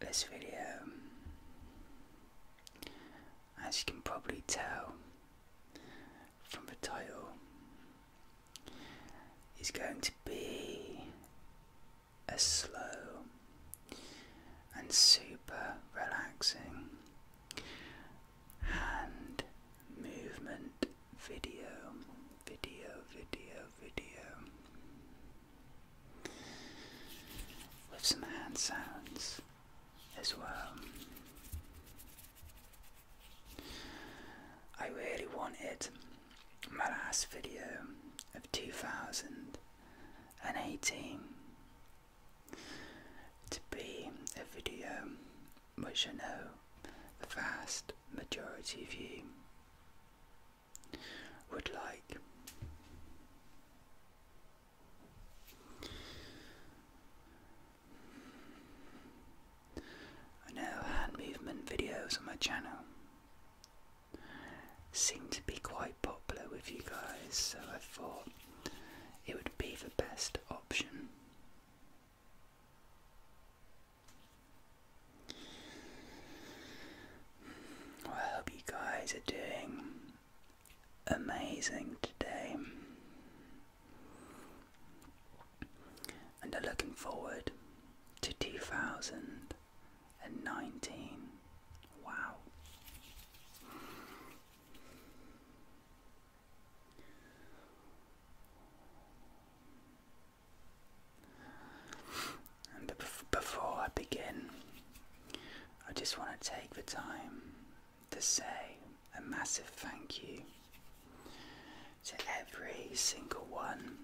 This video, as you can probably tell from the title, is going to be a slow and super relaxing hand movement video, video, video, video with some hand sounds as well. I really wanted my last video of 2018 to be a video which I know the vast majority of you would like. I know hand movement videos on my channel seem to be quite popular with you guys, so I thought it would be the best option I hope you guys are doing amazing today. And are looking forward to 2019. Wow before I begin, I just want to take the time to say a massive thank you to every single one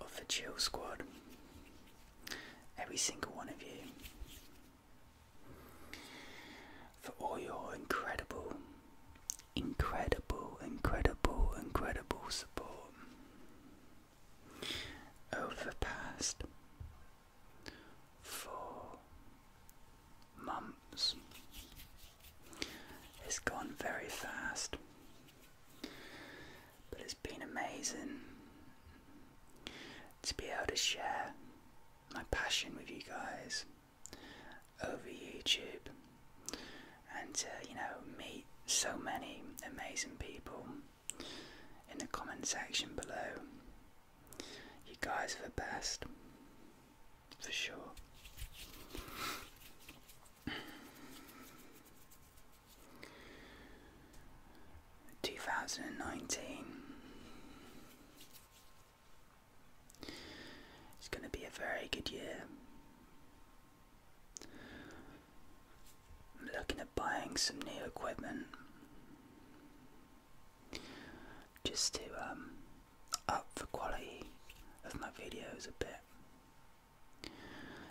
of the Chill Squad, every single one of you for all your incredible, incredible, incredible, incredible support over the past four months. It's gone very fast, but it's been amazing to be able to share my passion with you guys over YouTube and to you know meet so many amazing people in the comment section below. You guys are the best for sure. Two thousand and nineteen. It's going to be a very good year. I'm looking at buying some new equipment just to um, up the quality of my videos a bit.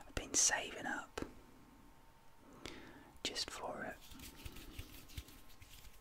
I've been saving up just for it.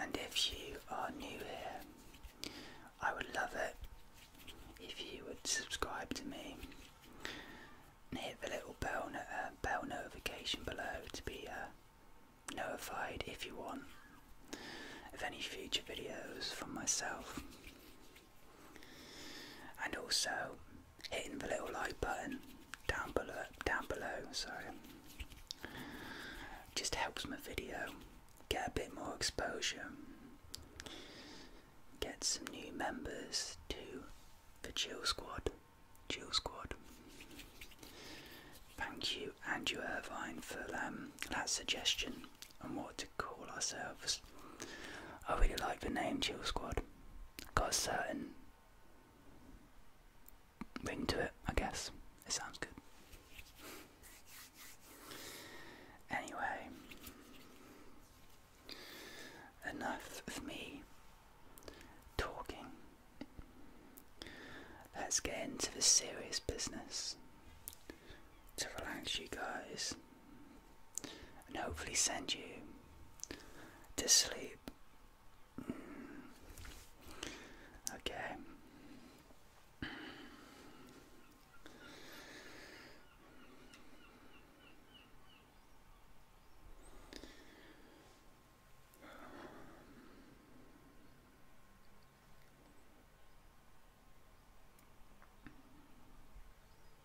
And if you are new here, I would love it if you would subscribe to me and hit the little bell, uh, notification below to be uh, notified if you want of any future videos from myself. And also, hitting the little like button down below down below sorry just helps my video get a bit more exposure get some new members to the chill squad chill squad thank you andrew irvine for um, that suggestion on what to call ourselves i really like the name chill squad got a certain ring to it, I guess. It sounds good. Anyway, enough of me talking. Let's get into the serious business to relax you guys and hopefully send you to sleep. Mm. Okay.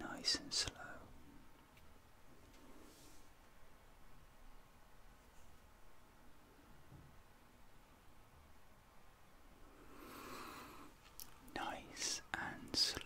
Nice and slow. Nice and slow.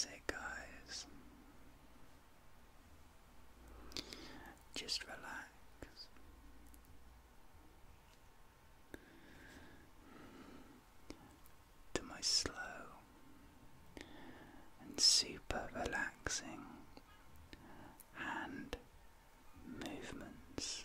I'd guys, just relax. To my slow and super relaxing hand movements.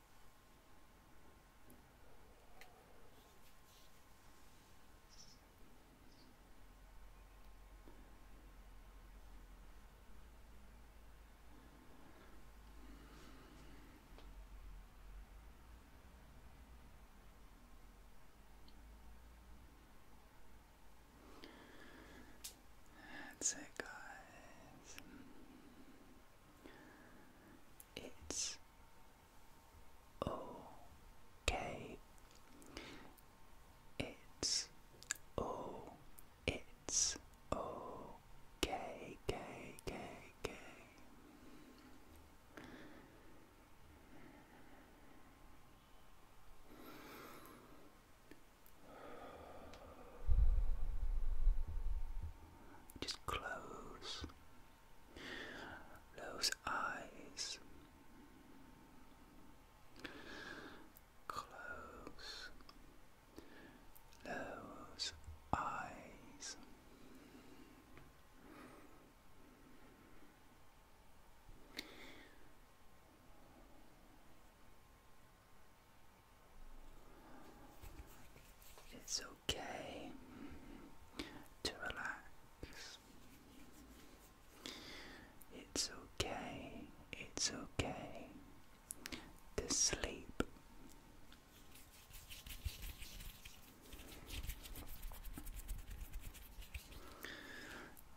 That's it, guys. It's okay. It's oh, it's okay, just close those eyes. Close those eyes. It's okay to relax. It's okay, it's okay to sleep.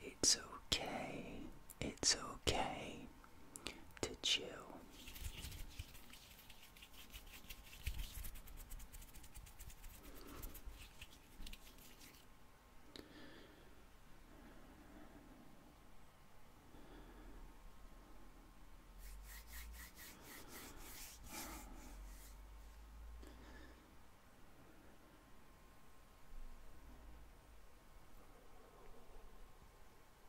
It's okay, it's okay to chill.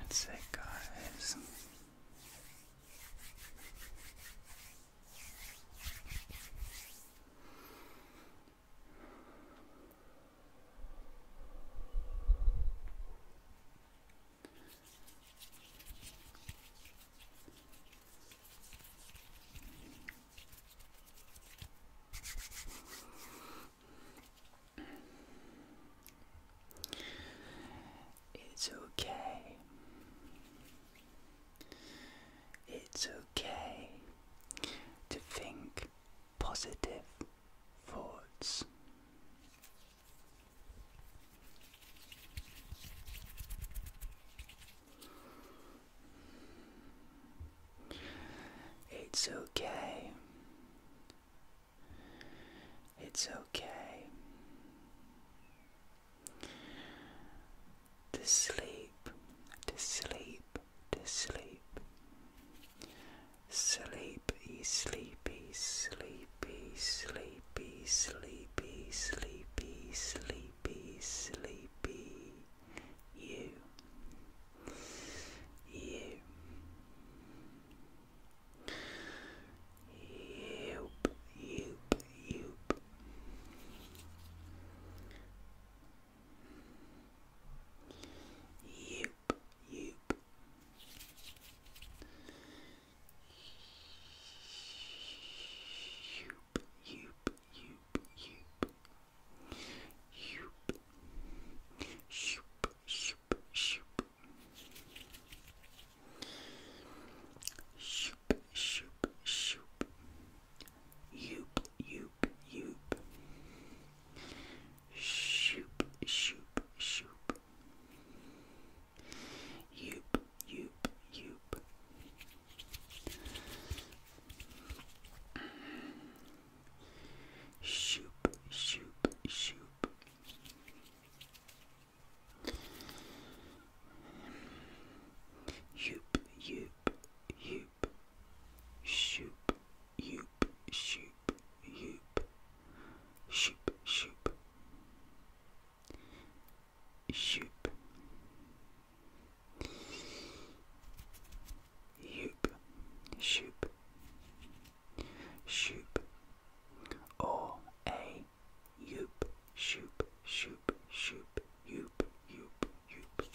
That's it, guys. It's okay. It's okay to think positive thoughts. It's okay. It's okay. To sleep, to sleep, to sleep. Sleepy, sleepy, sleepy, sleepy, sleepy, sleepy, sleepy. Be sleepy you. You. Yoop, yoop, yoop. Yoop, yoop. Yoop, yoop, yoop, yoop. Yoop. Shoop, shoop, shoop. Shoop, shoop, shoop. Yoop, yoop, yoop. Shoop, shoop, shoop. Yoop, yoop, yoop. Shoop, shoop, shoop. Yoop, yoop, yoop. Shoop, yoop, shoop, yoop. Shoop, shoop. Shoop. Hoop. Shoop. Shoop. Or a yoop. Shoop. Shoop. Shoop. Yoop. Yoop. Yoop.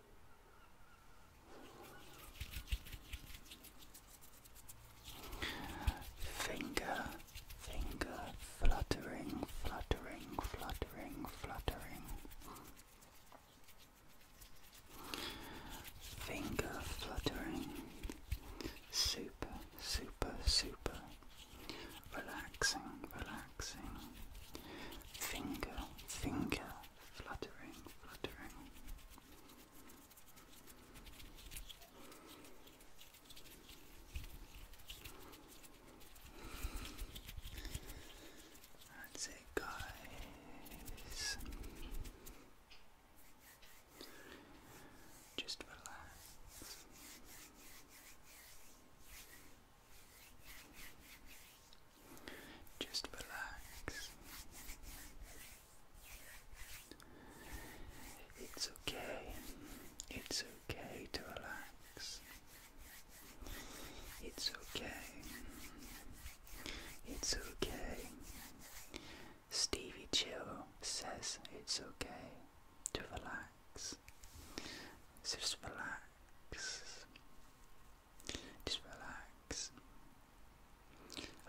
Finger, finger, fluttering, fluttering, fluttering, fluttering. Finger fluttering. Super, super, super. Relaxing, relaxing relaxing. Finger, finger, fluttering, fluttering. That's it, guys. Just relax. Just relax. It's okay. It's okay to relax. It's okay. It's okay. Stevie Chill says it's okay to relax. Just relax. Just relax.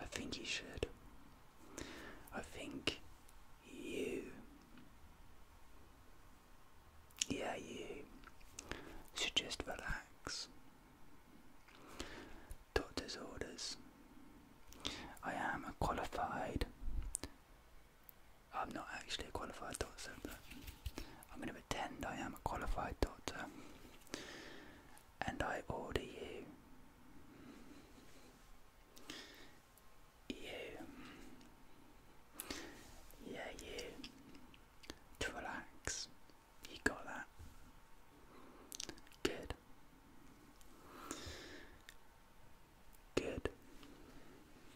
I think you should. I think you. Yeah, you should just relax. Doctor's orders. I am a qualified I'm not actually a qualified doctor, but I'm going to pretend I am a qualified doctor. And I order you. You. Yeah, you. To relax. You got that. Good. Good.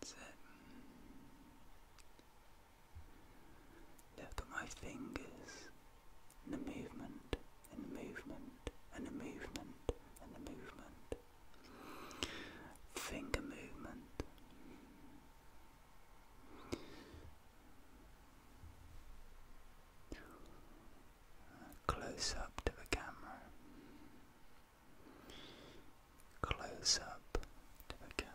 That's it. Look at my fingers. And the movement, and the movement, and the movement, and the movement. Finger movement. Close up to the camera. Close up to the camera.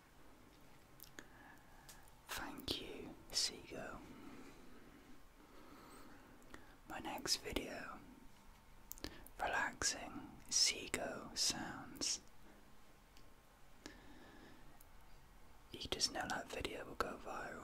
Thank you, seagull. My next video relaxing seagull sounds. You just know that video will go viral.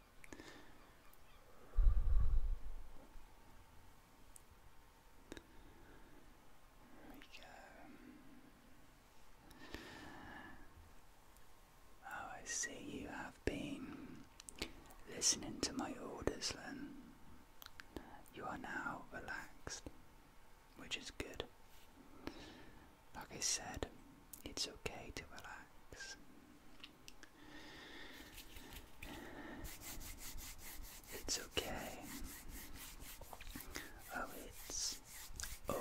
Oh, I see you have been listening to my orders then. You are now relaxed, which is good. Like I said, it's okay to relax. It's okay. Oh, it's okay.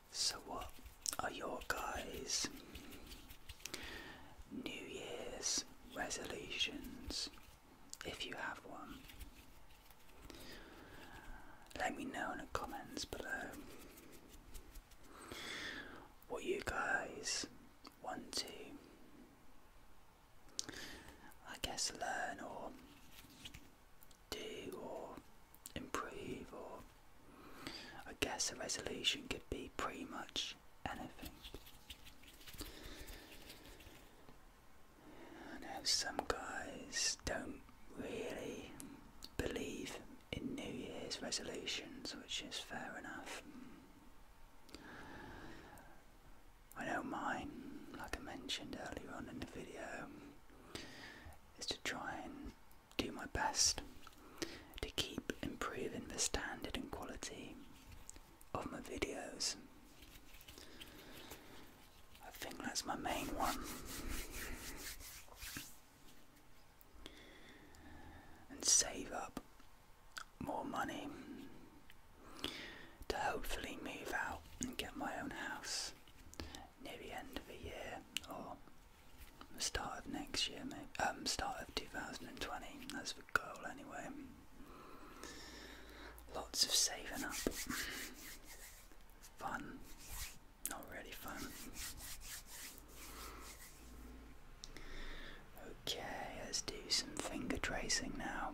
So, what are your guys' New Year's resolutions? If you have one, let me know in the comments below what you guys want to, I guess, learn or do or improve or I guess a resolution could be pretty much anything. I know some guys don't really believe in New Year's resolutions, which is fair enough. I know mine, like I mentioned earlier on in the video, is to try and do my best to keep improving the standard and quality of my videos. I think that's my main one. and save up more money to hopefully move out and get my own house near the end of the year or the start of next year, maybe. Um, start of 2020. That's the goal, anyway. Lots of saving up. fun. Not really fun. Okay, let's do some finger tracing now.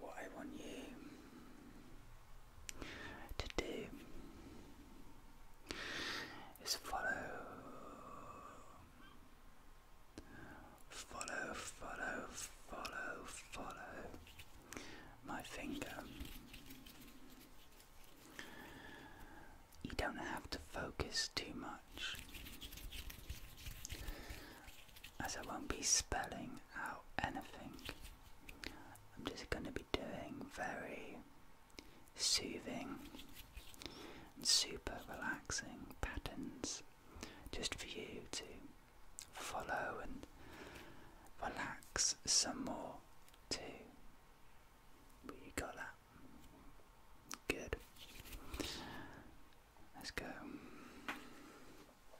What I want you to do is follow, follow, follow, follow, follow my finger. You don't have to focus too much, as I won't be spelling out anything I'm just going to be doing very soothing and super relaxing patterns just for you to follow and relax some more too. But you got that? Good. Let's go.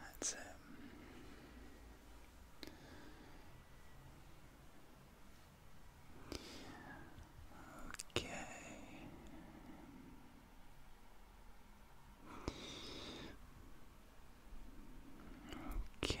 That's it. Okay. Okay.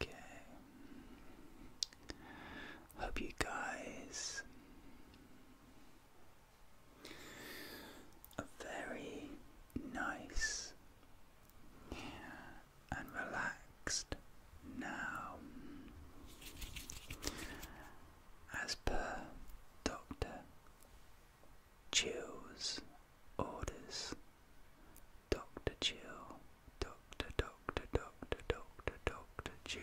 Okay. Hope you guys a very nice and relaxed now as per Dr. Chill's orders Dr. Jill, Dr. Dr. Dr. Dr. Dr. Jill.